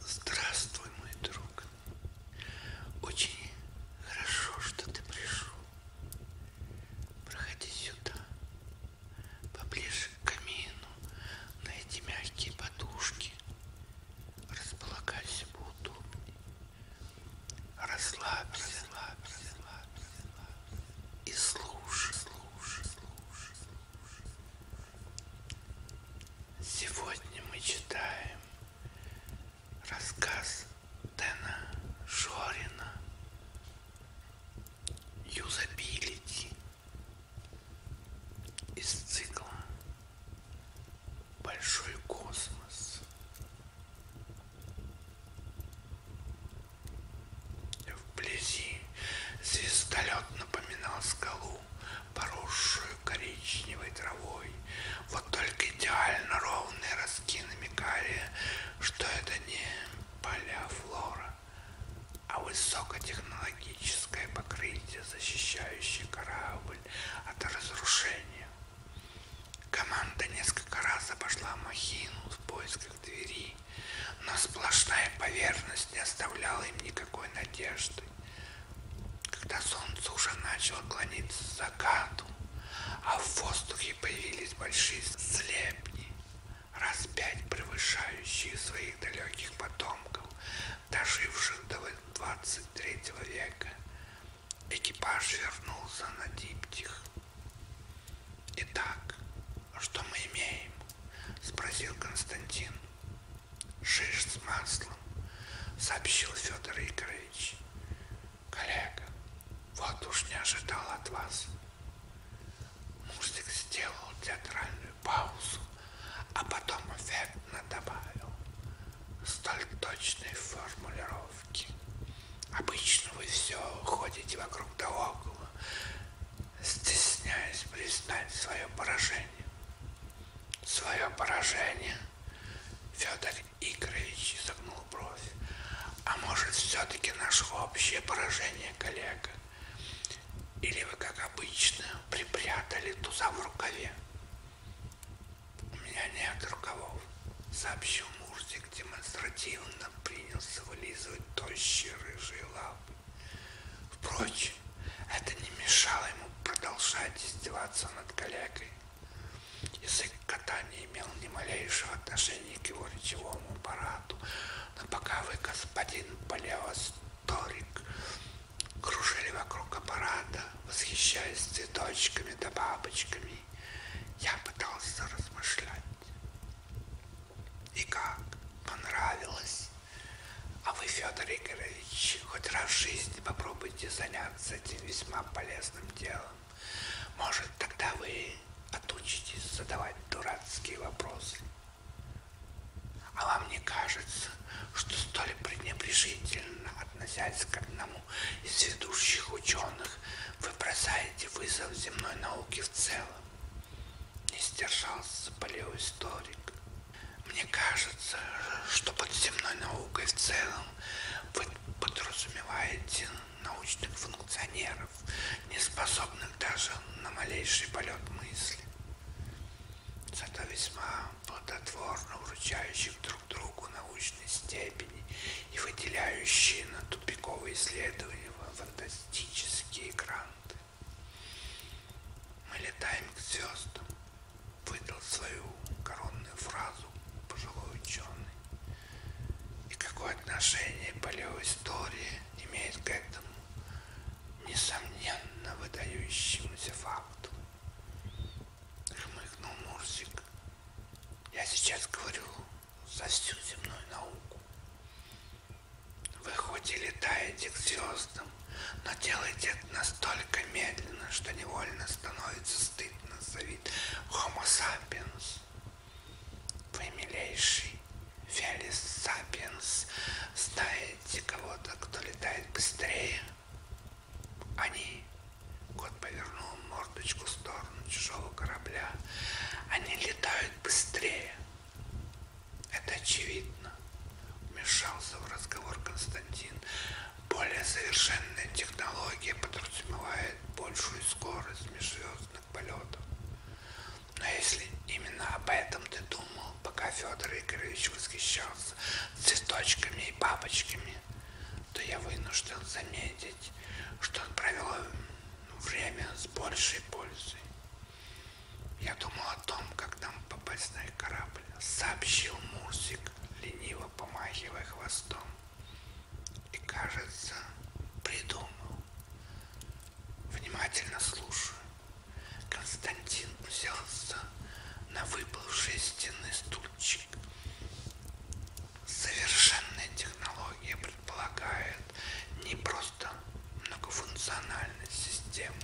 Здравствуй, мой друг. Очень хорошо, что ты пришел. Проходи сюда, поближе к камину, найди мягкие подушки, располагайся поудобнее, расслабься, расслабься, расслабься, расслабься. и слушай, слушай, слушай. Сегодня мы читаем рассказ Дэна Шорина «Юзабилити» из цикла «Большой космос». Вблизи звездолет напоминал скалу, поросшую коричневой травой. Вот только идеально ровные ростки намекали, что это не поля-флора, а высокотехнологическое покрытие, защищающее корабль от разрушения. Команда несколько раз обошла махину в поисках двери, но сплошная поверхность не оставляла им никакой надежды. Когда солнце уже начало клониться к закату, а в воздухе появились большие слепни, раз пять превышающие своих далеких потомков, доживших до 23 века, экипаж вернулся на Диптих. Итак, что мы имеем? Спросил Константин. Шиш с маслом, сообщил Федор Игоревич. Коллега, вот уж не ожидал от вас. Мурзик сделал театральную паузу, а потом эффектно добавил. Столь точной формулировки. Обычно вы все ходите вокруг да около, стесняясь признать свое поражение. Свое поражение? Федор Игоревич изогнул бровь. А может, все-таки наше общее поражение, коллега? Или вы, как обычно, припрятали туза в рукаве? У меня нет рукавов, сообщил Мурзик демонстративно жадно принялся вылизывать тощие рыжие лапы. Впрочем, это не мешало ему продолжать издеваться над коллегой. Язык кота не имел ни малейшего отношения к его речевому аппарату, но пока вы, господин палеосторик, кружили вокруг аппарата, восхищаясь цветочками да бабочками, я пытался размышлять. И как? Понравилось? А вы, Федор Игоревич, хоть раз в жизни попробуйте заняться этим весьма полезным делом. Может, тогда вы отучитесь задавать дурацкие вопросы. А вам не кажется, что столь пренебрежительно относясь к одному из ведущих ученых вы бросаете вызов земной науке в целом. Не сдержался палеоисторик. Мне кажется, что под земной наукой в целом вы подразумеваете научных функционеров, не способных даже на малейший полет мысли. Зато весьма плодотворно вручающих друг другу научные степени степени и выделяющие на тупиковые исследования фантастические гранты. Мы летаем к звездам, выдал свою коронную фразу пожилой ученый. И какое отношение палеоистория имеет к этому несомненно выдающемуся факту? Хмыкнул Мурсик. Я сейчас говорю за всю земную науку. Вы хоть и летаете к звездам, но делаете это настолько медленно, что невольно становится стыдно за вид Homo sapiens. Вы, милейший Фелис Сапиенс, знаете кого-то, кто летает быстрее? Они Пароход повернул мордочку в сторону чужого корабля. Они летают быстрее. Это очевидно. Вмешался в разговор Константин. Более совершенная технология подразумевает большую скорость межзвездных полетов. Но если именно об этом ты думал, пока Федор Игоревич восхищался цветочками и бабочками, то я вынужден заметить, что он провел время с большей пользой. Я думал о том, как нам попасть на их корабль, сообщил Мурсик, лениво помахивая хвостом. И, кажется, придумал. Внимательно слушаю. Константин взялся на выпавший стены стульчик Совершенная технология предполагает не просто многофункциональность системы,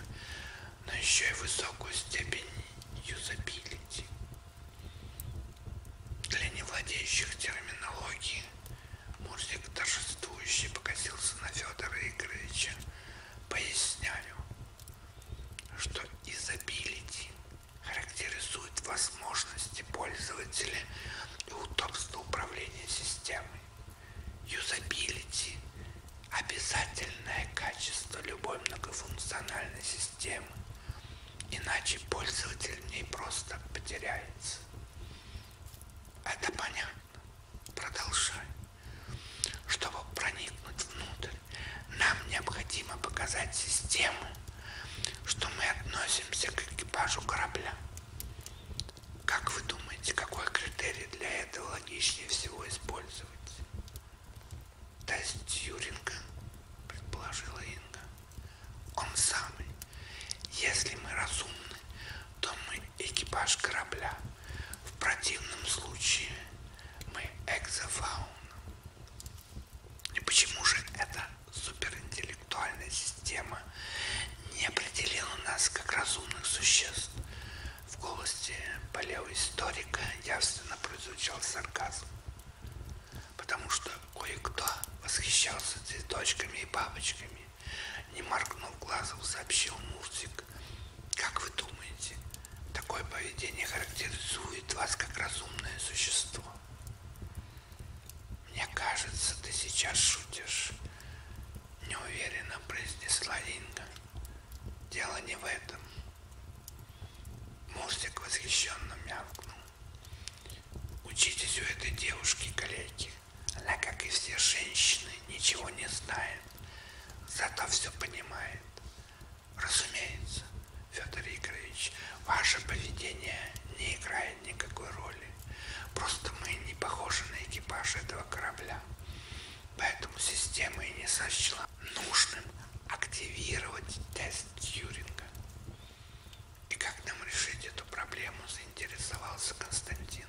но еще и высокую степень юзабилити. Для невладеющих терминологией Мурзик торжествующий покосился на Федора Игоревича, поясняю, что изобилити характеризует возможности пользователя и удобство управления системой. Юзабилити – обязательное качество любой многофункциональной системы, иначе пользователь в ней просто потеряется. Это понятно. Продолжай. Чтобы проникнуть внутрь, нам необходимо показать системы, что мы относимся к экипажу корабля. Как вы думаете, какой критерий для этого логичнее всего использовать? Тест Тьюринга, предположила Инга. Он самый. Если мы разумны, то мы экипаж корабля. В противном случае мы экзофауна. И почему же эта суперинтеллектуальная система не определила нас как разумных существ? В голосе палеоисторика явственно прозвучал сарказм, потому что кое-кто восхищался цветочками и бабочками. Не моргнув глазом, сообщил Мурзик. Как вы думаете, такое поведение характеризует вас как разумное существо? «Мне кажется, ты сейчас шутишь», — неуверенно произнесла Линга. «Дело не в этом». Мурзик восхищенно мявкнул. «Учитесь у этой девушки, коллеги. Она, как и все женщины, ничего не знает, зато все понимает. Разумеется, Федор Игоревич, ваше поведение не играет никакой роли. Просто мы не похожи на экипаж этого корабля. Поэтому система и не сочла нужным активировать тест Тьюринга. И как нам решить эту проблему, заинтересовался Константин.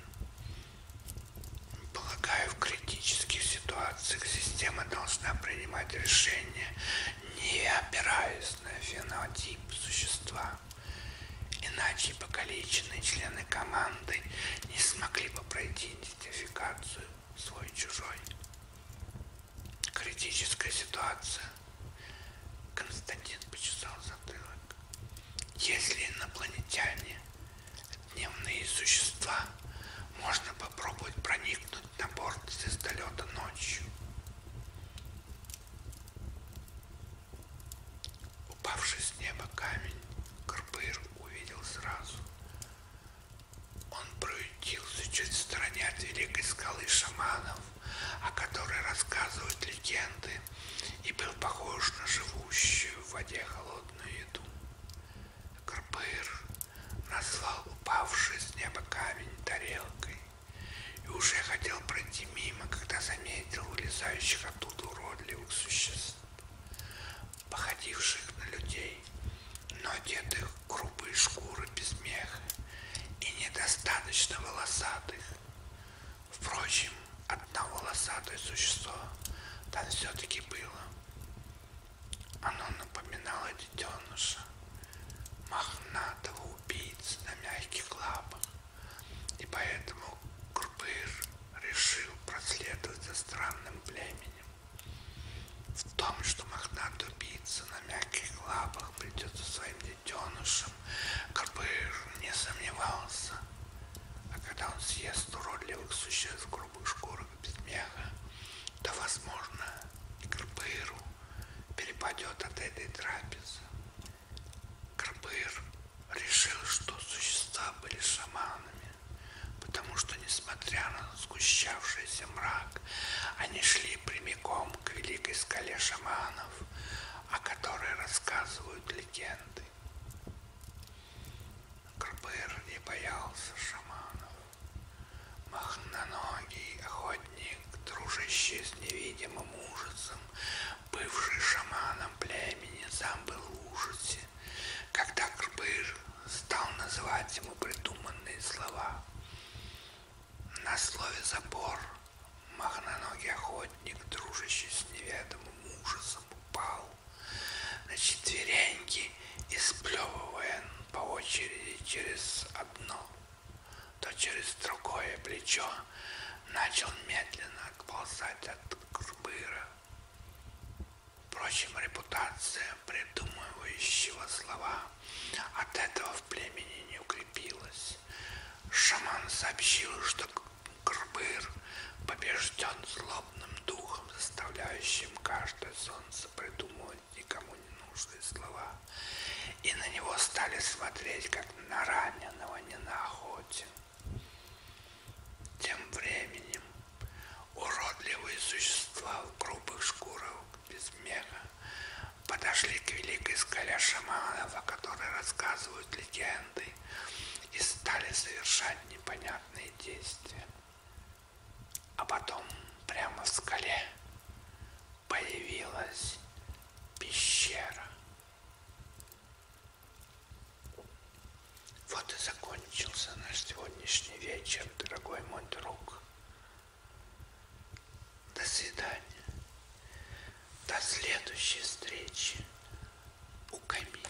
Полагаю, в критических ситуациях система должна принимать решения, не опираясь на фенотип существа. Иначе покалеченные члены команды не смогли бы пройти идентификацию свой-чужой. Критическая ситуация. Константин почесал затылок. Если инопланетяне, дневные существа, можно попробовать проникнуть на борт звездолета ночью. Упавший с неба камень Крпыр увидел сразу. Он проютился чуть в стороне от великой скалы шаманов, о которой рассказывают легенды, и был похож на живущую в воде холодную еду. Крпыр назвал упавший с неба камень тарелкой и уже хотел пройти мимо, когда заметил вылезающих оттуда уродливых существ, походивших на людей, но одетых в грубые шкуры без меха и недостаточно волосатых. Впрочем, одно волосатое существо там все-таки было. Оно напоминало детеныша, мохнатого убийцы на мягких лапах, и поэтому Курбыр решил проследовать за странным племенем. В том, что мохнатый убийца на мягких лапах придет за своим детенышем, Курбыр не сомневался. А когда он съест уродливых существ в грубых шкурах без меха, то, возможно, Крбыру перепадет от этой трапезы. Крбыр решил, что существа были шаманами, потому что, несмотря на сгущавшийся мрак, они шли прямиком к великой скале шаманов, о которой рассказывают легенды. Крбыр не боялся шаманов. Махноногий охотник, дружащий с невидимым ужасом, бывший шаманом племени, сам был в ужасе, когда Крбыж стал называть ему придуманные слова. На слове «забор» махноногий охотник, дружащий с неведомым ужасом, упал на четвереньки исплевывая по очереди через одно, то через другое плечо, начал медленно отползать от Курбыра. Впрочем, репутация придумывающего слова от этого в племени не укрепилась. Шаман сообщил, что Курбыр побежден злобным духом, заставляющим каждое солнце придумывать никому не нужные слова, и на него стали смотреть, как на раненого, не на охоте. Тем временем уродливые существа в грубых шкурах без меха подошли к великой скале шаманов, о которой рассказывают легенды, и стали совершать непонятные действия. А потом прямо в скале появилась пещера. Вот и закончился наш сегодняшний вечер, дорогой мой друг. До свидания. До следующей встречи у камина.